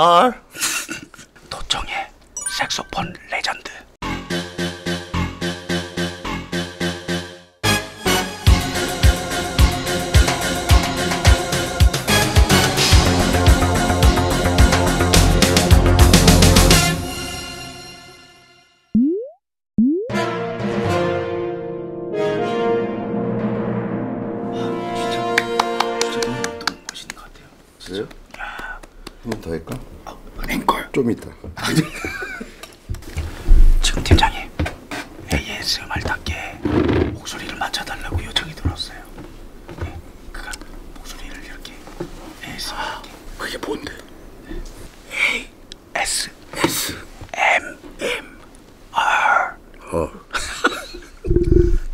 R 도청의 색소폰 레전드 그래요? 한번 더 할까? 아, 앵콜. 좀 이따. 지금 팀장님 ASMR답게 목소리를 맞춰달라고 요청이 들었어요. 네, 그가 목소리를 이렇게 ASMR. 아, 그게 뭔데? S S M M R 어.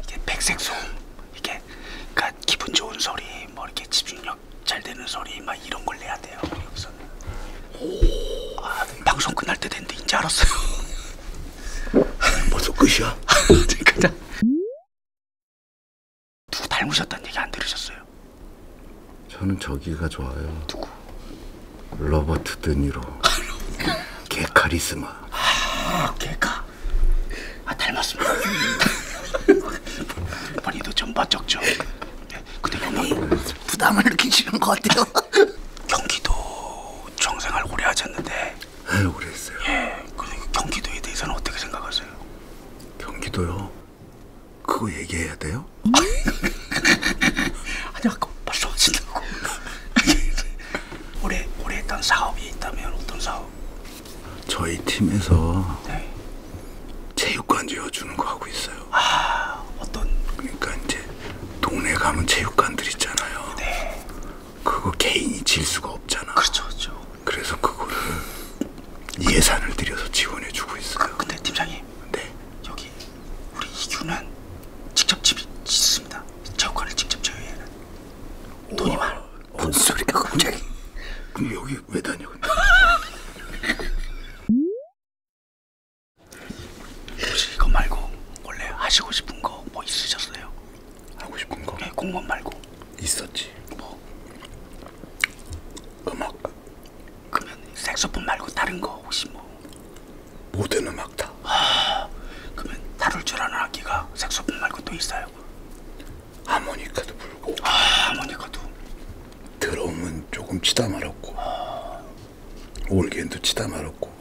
이게 백색소음 이게 그러니까 기분 좋은 소리 뭐 이렇게 집중력 잘 되는 소리 막 이런 걸 내야 돼요 여기서는 오. 아, 방송 끝날 때 됐는데 이제 알았어요 벌써 끝이야 그냥 누구 닮으셨다는 얘기 안 들으셨어요? 저는 저기가 좋아요. 누구? 로버트 드니로. 개 카리스마. 아, 개카. 아, 닮았습니다. 본인도 좀 멋쩍죠. 네, 근데 형이 부담을 느끼시는 것 같아요. 경기도 정생활 오래 하셨는데. 네, 오래 했어요. 예, 그 경기도에 대해서는 어떻게 생각하세요? 경기도요? 그거 얘기해야 돼요? 음? 아니 아까 벌써 하시려고 올해 올해 했던 사업이 있다면 어떤 사업? 저희 팀에서 네. 체육관 지어주는 거 하고 있어요. 아 어떤? 그러니까 이제 동네 가면 체육관들 있잖아요. 네. 그거 개인이 질 수가 없잖아. 그렇죠, 그렇죠. 그래서 그거를 예산을 들여서 지원해주고 있어요. 그, 근데 팀장님, 네. 여기 우리 이규는 직접 집이 짓습니다. 체육관을 직접 제외해는 돈이 많아. 뭔 소리가 갑자기? 그럼 여기 왜 다녀? 근데? 혹시 이거 말고 원래 하시고 싶은 거 뭐 있으셨어요? 하고 싶은 거? 네, 공무원 말고. 있었지 뭐 음악 그러면 색소폰 말고 다른 거 혹시 뭐 모든 음악 다 아, 그러면 다룰 줄 아는 악기가 색소폰 말고 또 있어요? 하모니카도 불고 아 하모니카도 드럼은 조금 치다 말았고 아... 올겐도 치다 말았고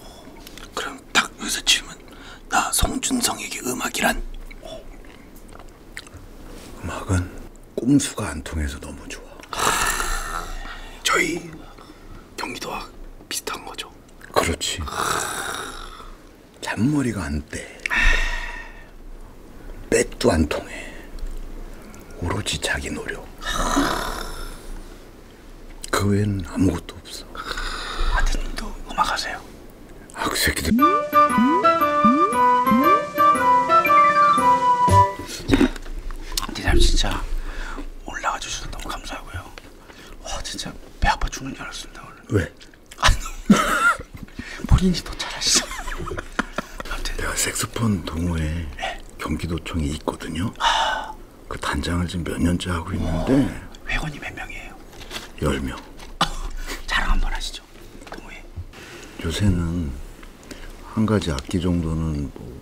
그럼 딱 여기서 치면 나 송준성에게 음악이란 음악은 꼼수가 안 통해서 너무 좋아. 저희 경기도와 비슷한 거죠. 그렇지. 잔머리가 안 떼. 빽도 안 통해. 오로지 자기 노력. 그 외엔 아무것도 없어. 아드님도 음악하세요? 학새끼들 니들 진짜 올라가 주셔서 너무 감사하고요 와 진짜 배 아파 죽는 줄 알았습니다 오늘 왜? 본인이 더 잘하시죠 아무튼 내가 색소폰 동호회 네. 예. 경기도청에 있거든요 아. 그 단장을 지금 몇 년째 하고 있는데 오. 어, 회원이 몇 명이에요? 10명 아, 어, 자랑 한번 하시죠 거죠. 동호회. 요새는 한 가지 악기 정도는 뭐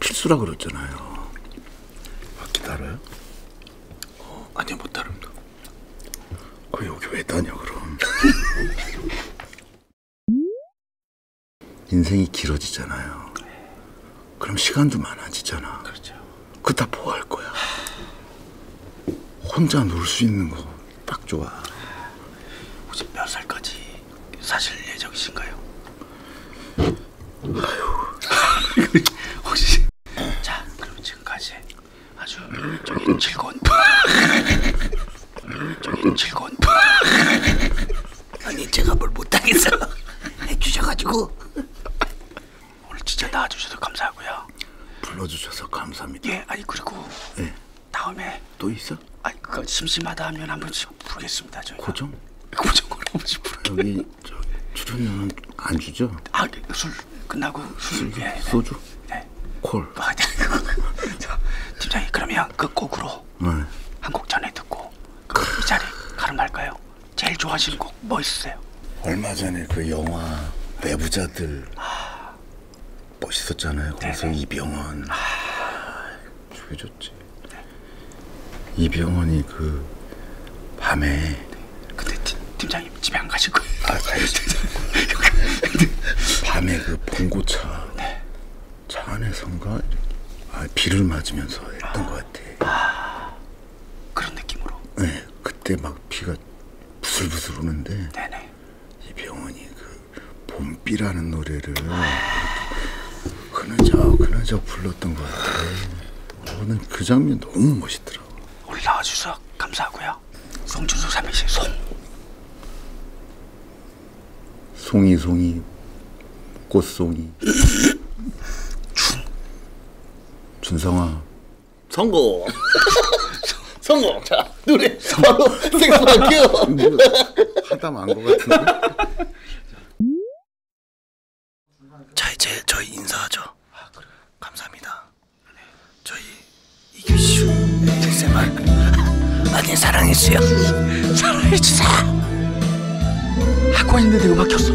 필수라 그랬잖아요. 악기 아, 다뤄요? 어, 아니요 못 다룹니다. 아 여기 왜 다녀 그럼? 인생이 길어지잖아요. 그럼 시간도 많아지잖아. 그렇죠. 그다 보할 거야. 혼자 놀 수 있는 거딱 좋아. 혹시 몇 살까지 사실 예정이신가요? 아유. 혹시 자 그럼 지금까지 아주 저기 즐거운 저기 즐거운 아니 제가 뭘 못하겠어 해주셔가지고 오늘 진짜 나와주셔서 감사하고요. 불러주셔서 감사합니다. 예, 아니 그리고 예. 다음에 또 있어? 아니 그거 심심하다 하면 한 번씩 부르겠습니다. 저희 고정? 고정으로 한 번씩 부르. 여기 저 출연료는 안 주죠? 아술 네, 끝나고 술, 술 예, 예, 소주? 네. 콜. 아, 네. 저, 팀장님 그러면 그 곡으로 네. 한곡 전에 듣고 그이 자리 가름할까요? 제일 좋아하시는 곡 뭐 있으세요? 얼마 전에 그 영화 내부자들 아, 멋있었잖아요. 거기서 네. 이병헌. 아, 저게 좋지. 이병헌이 그 밤에 네. 근데 팀, 팀장님 집에 안 가실 거예요. 아, 가야지. 근데 밤에 그 봉고차 네. 차 안에선가 아, 비를 맞으면서 했던 아. 것 같아. 아, 그런 느낌으로. 네, 그때 막 비가 부슬부슬 오는데. 네네. 이병헌이 그 봄비라는 노래를 그느적 그느적 불렀던 것 같아. 저는 그 장면 너무 멋있더라고. 오늘 나와주셔서 감사하고요. 송준수 삼행시 송. 송이 송이 꽃송이. 준. 준성아. 성공. 성공. 자, 노래 바로 생각할게요. 하다 만것 같은데. 자, 이제 저희 인사하죠. 아, 그래. 감사합니다. 네. 저희 이규슈 ASMR 많이 사랑해주세요. 사랑해주세요. 학원인데도 이거 막혔어.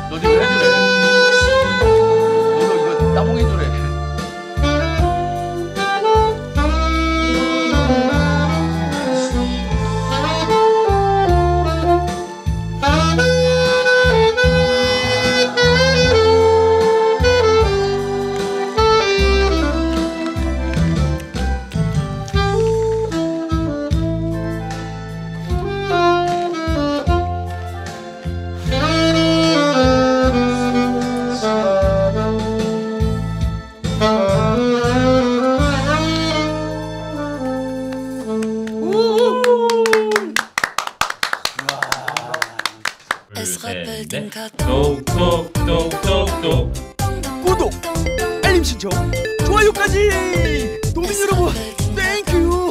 너 지금 해주래. 너도 이거 따봉 해주래. 똑똑똑똑똑 구독, 알림 신청, 좋아요까지! 도민 여러분, 땡큐!